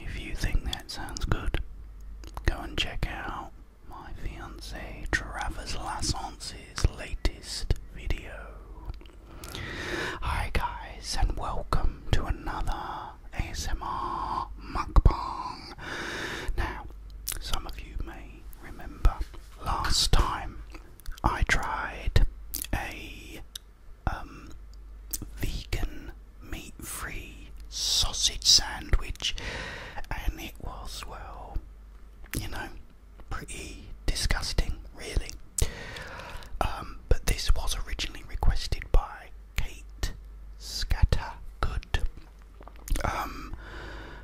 If you think that sounds good, go and check out my fiancé Travis Lassance's latest video. Hi guys and welcome to another ASMR mukbang. Now, some of you may remember last time I tried a um vegan meat-free sausage sandwich and it was well you know pretty disgusting, really. Um, but this was originally requested by Kate Scattergood. Um,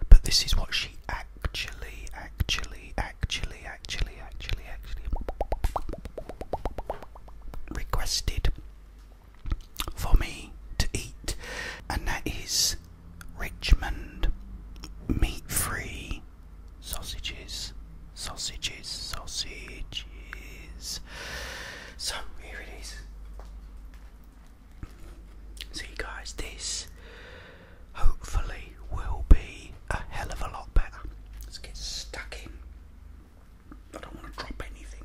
but this is what she actually, actually, actually, actually, actually, actually requested for me to eat, and that is Richmond, meat free, sausages, sausages, sausages. So here it is. So, guys, this hopefully will be a hell of a lot better. Let's get stuck in. I don't want to drop anything.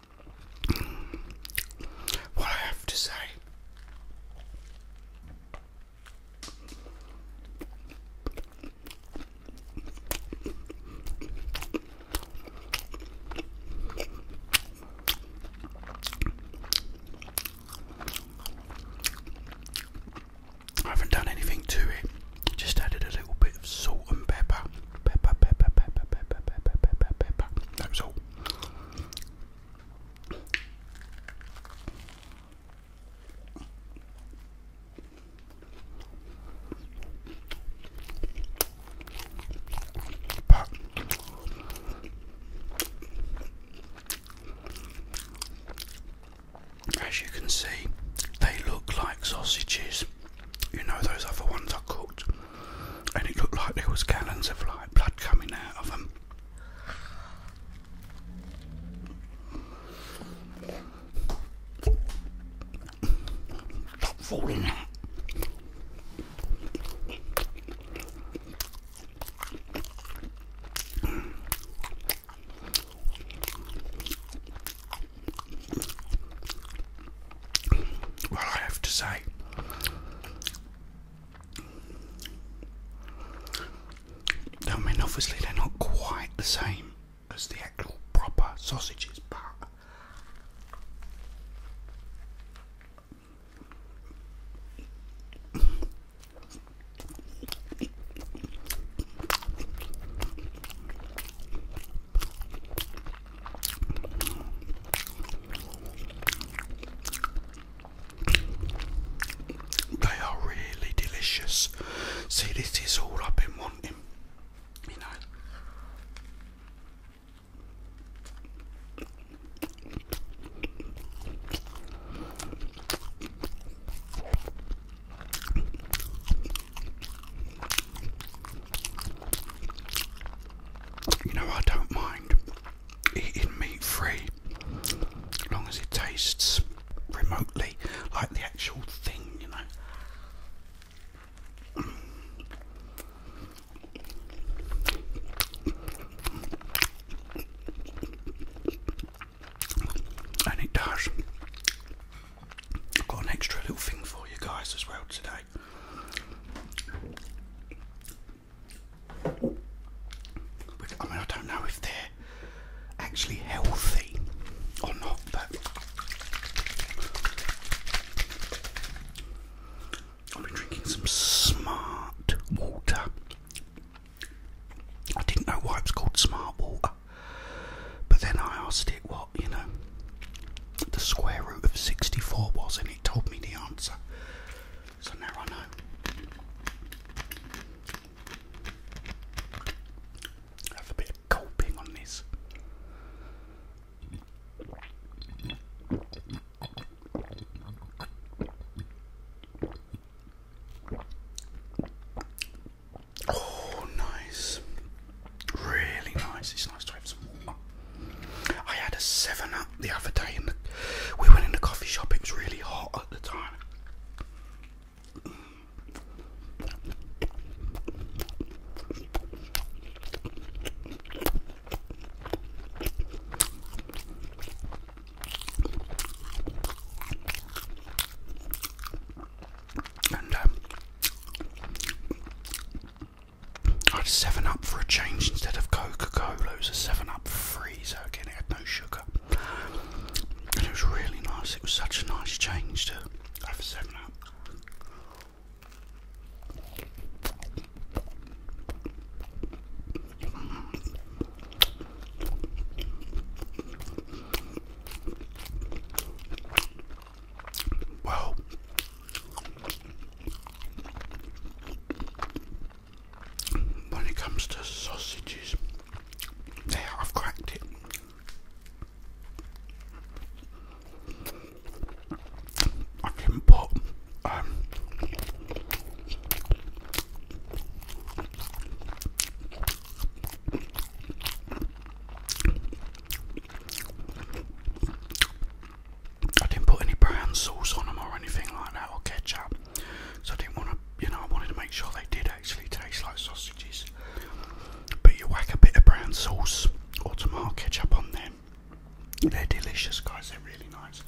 what I have to say. I haven't done anything to it, I just added a little bit of salt and pepper. Pepper, pepper, pepper, pepper, pepper, pepper, pepper. That was all as you can see, they look like sausages. You know, those other ones are cooked and it looked like there was gallons of like blood coming out of them. Stop falling out. Well, I have to say, I mean, obviously, they're not quite the same as the actual proper sausages, but they are really delicious. See, this is all I've been wanting, you know. You know, I don't mind eating meat free, as long as it tastes remotely like the actual thing, you know. And it does. got an extra little thing for you guys as well today. I mean, I don't know if they're actually healthy or not, but I've been drinking some smart water. I didn't know why it was called smart water, but then I asked it what, you know, the square root of 64 was, and it told me the answer. So now I know. Have a bit of gulping on this. Oh, nice. Really nice. It's nice to have some I had a seven up the other day, and we went in the coffee shop. It was really hot at the time. And um, I had 7 Up for a change instead of Coca Cola, it was a 7 Up freezer again, it had no sugar. And it was really nice, it was such a nice change to have a 7 when it comes to sausages, there I've cracked it. I can put um, I didn't put any brown sauce on them or anything like that, or ketchup. So I didn't want to, you know, I wanted to make sure they did actually taste like sausages. But you whack a bit of brown sauce or tomato ketchup on them. They're delicious, guys. They're really nice.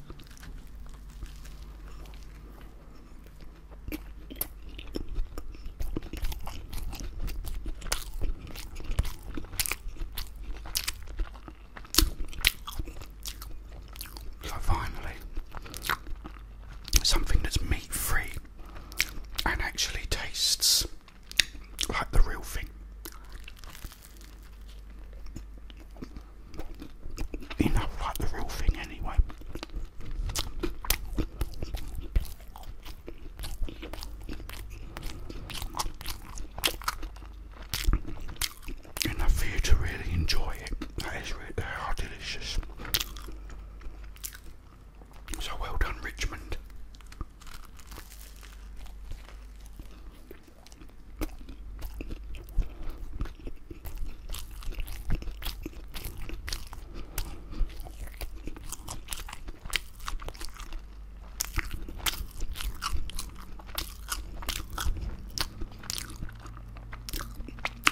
So finally, something that's meat free and actually tastes like the real thing. You like the real thing anyway. Enough for you to really enjoy it. That is really, delicious. So well done, Richmond.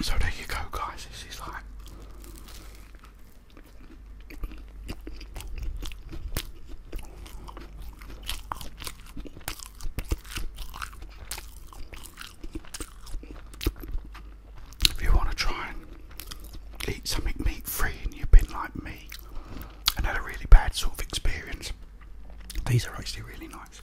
So there you go, guys. This is like. If you want to try and eat something meat free and you've been like me and had a really bad sort of experience, these are actually really nice.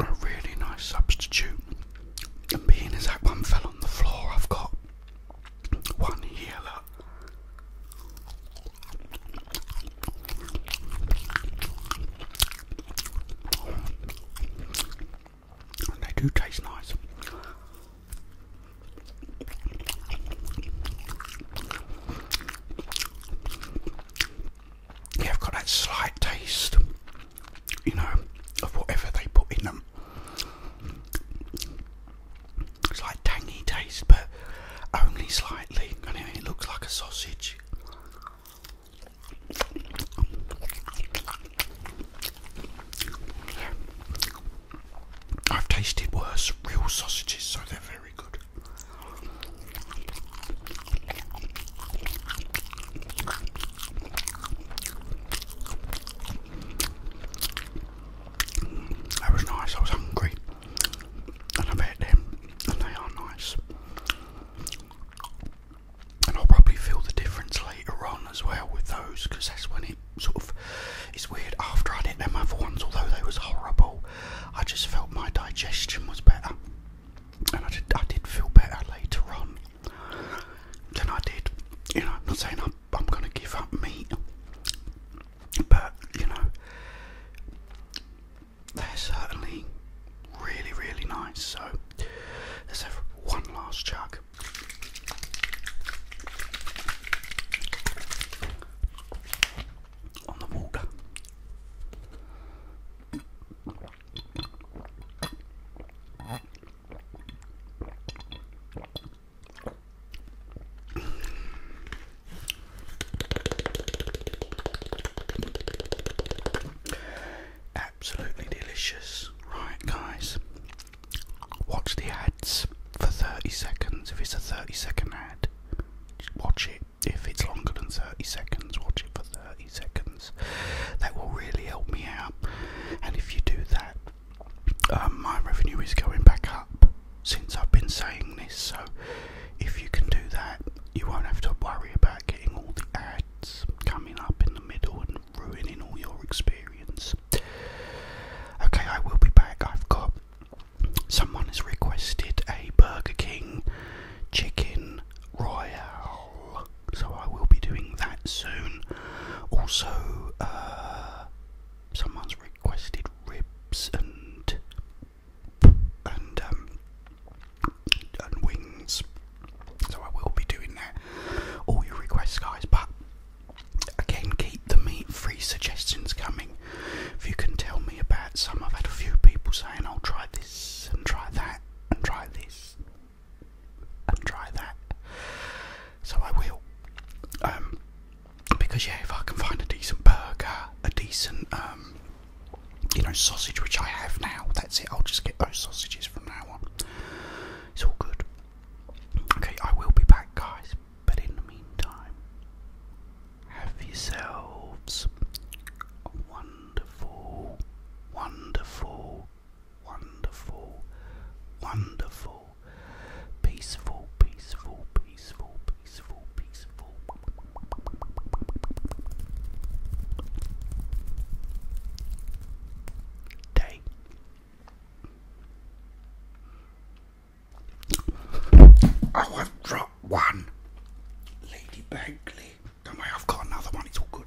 a really nice substitute. And being as that one fell on the floor, I've got one here. And they do taste nice yeah, I've got that slight taste, you know, of whatever they put in them. It's like tangy taste, but only slightly, and it looks like a sausage. I've tasted worse real sausages, so they're very good. That was nice, I was hungry. And I met them, and they are nice. And I'll probably feel the difference later on as well with those, because that's when it sort of is weird. After I'd them other ones, although they was horrible, I just felt my digestion was better, and I did I did feel better later on than I did. You know, am not saying I'm, going to give up meat, but you know, they're certainly really, really nice. So let's one last chug. On the water. Absolutely delicious. Right, guys, watch the ads for 30 seconds. If it's a 30 second ad, watch it. If it's longer than 30 seconds, watch it for 30 seconds. That will really help me out. And if you do that, um, my revenue is going back up since I've been saying this. So if you can do that, you won't have to worry about getting all the ads coming up in the middle and ruining all your experience. Okay, I will be back. I've got someone has requested a Burger King chicken royale. So I will be doing that soon. Also, uh, someone's requested ribs and and um, and wings. So I will be doing that. All your requests, guys. But again, keep the meat-free suggestions coming. If you can tell me about some, I've had a few people saying, "I'll try this and try that and try this." try that. So I will. Um, because yeah, if I can find a decent burger, a decent um, you know sausage, which I have now, that's it. I'll just get those sausages from now on. It's all good. Okay, I will be back, guys. But in the meantime, have yourselves a wonderful, wonderful wonderful, wonderful, peaceful, peaceful, peaceful, peaceful, peaceful. Day. Oh, I've dropped one. Lady Bagley. Don't worry, I've got another one. It's all good.